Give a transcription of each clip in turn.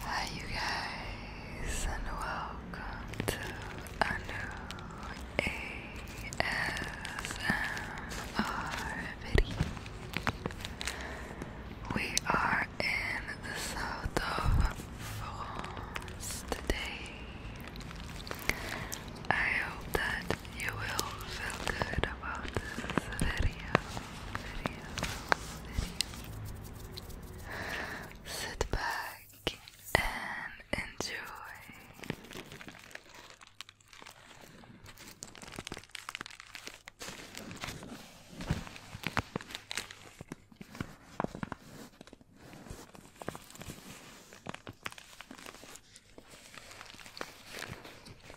Hi you guys and welcome to a new ASMR video. We are in the south of France today. I hope that you will feel good about this video video, video. Sit back and enjoy.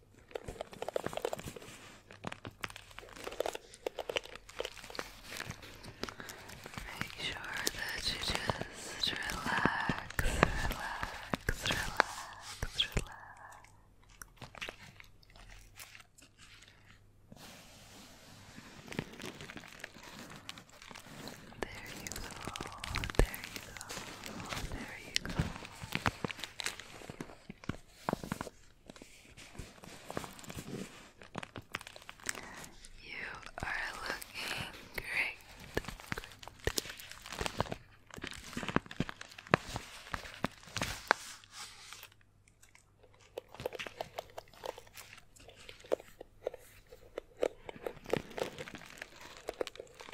Make sure that you just relax, relax, relax, relax. There you go, there you go, there you go. You are looking great.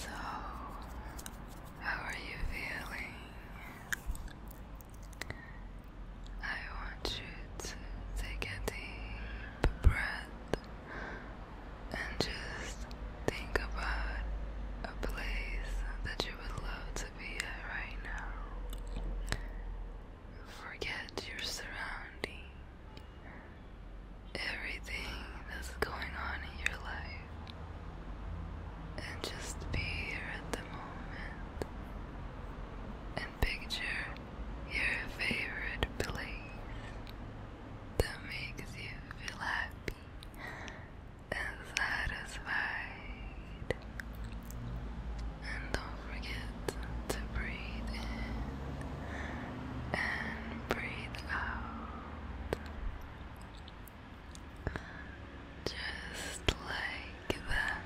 So, how are you feeling? I want you to take a deep breath and just think about a place that you would love to be at right now. Forget your surroundings everything that's going on in your life and just be here at the moment and picture your favorite place that makes you feel happy and satisfied. And don't forget to breathe in and breathe out. Just like that.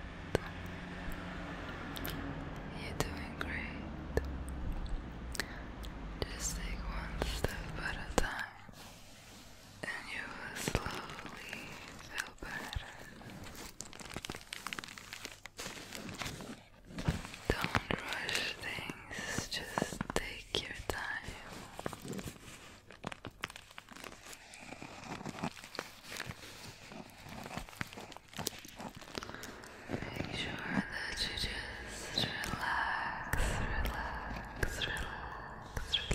You're doing great. Just take one step at a time, and you will slowly feel better. Don't rush things, just take your time. Make sure that you just relax, relax, relax, relax.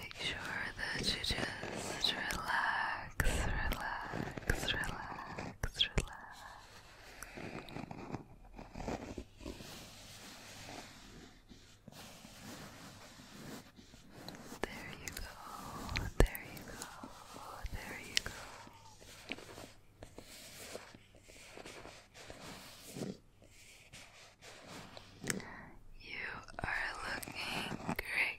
Make sure that you just relax, relax, relax, relax. There you go, there you go, there you go. You are looking great.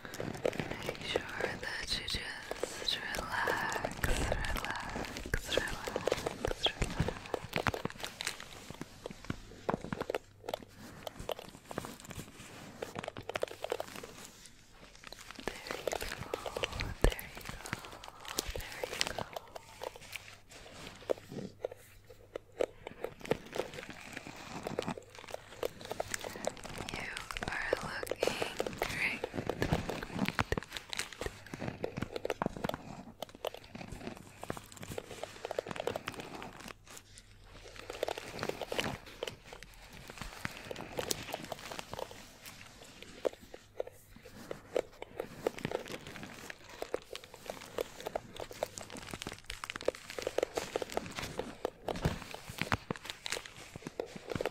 Make sure that you just relax, relax, relax, relax. There you go, there you go, there you go. You are looking great.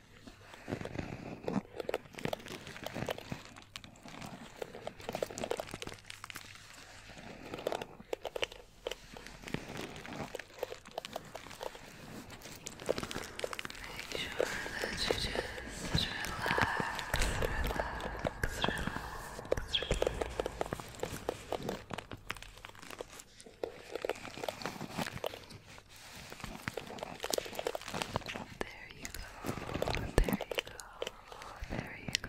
Make sure that you just relax, relax, relax, relax. There you go. There you go. There you go.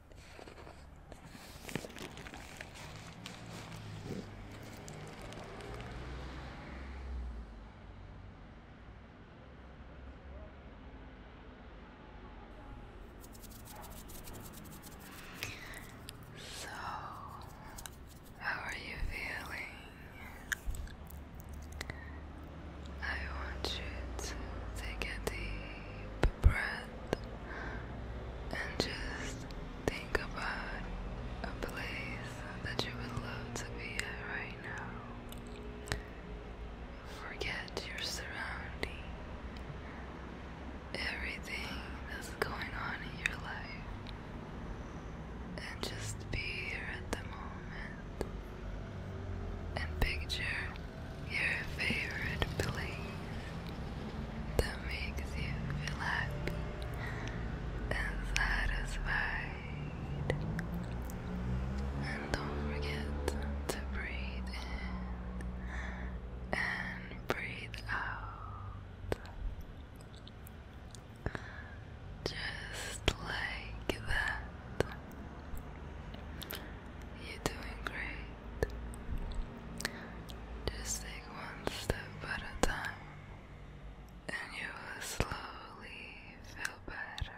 So, how are you feeling? I want you to take a deep breath and just think about a place that you would love to be at right now. Forget your surroundings, everything that's going on in your life, and just be here at the moment and picture your favorite place that makes you feel happy and satisfied. And don't forget to breathe in and breathe out. Just like that. You're doing great. Just take one step at a time, and you will slowly feel better.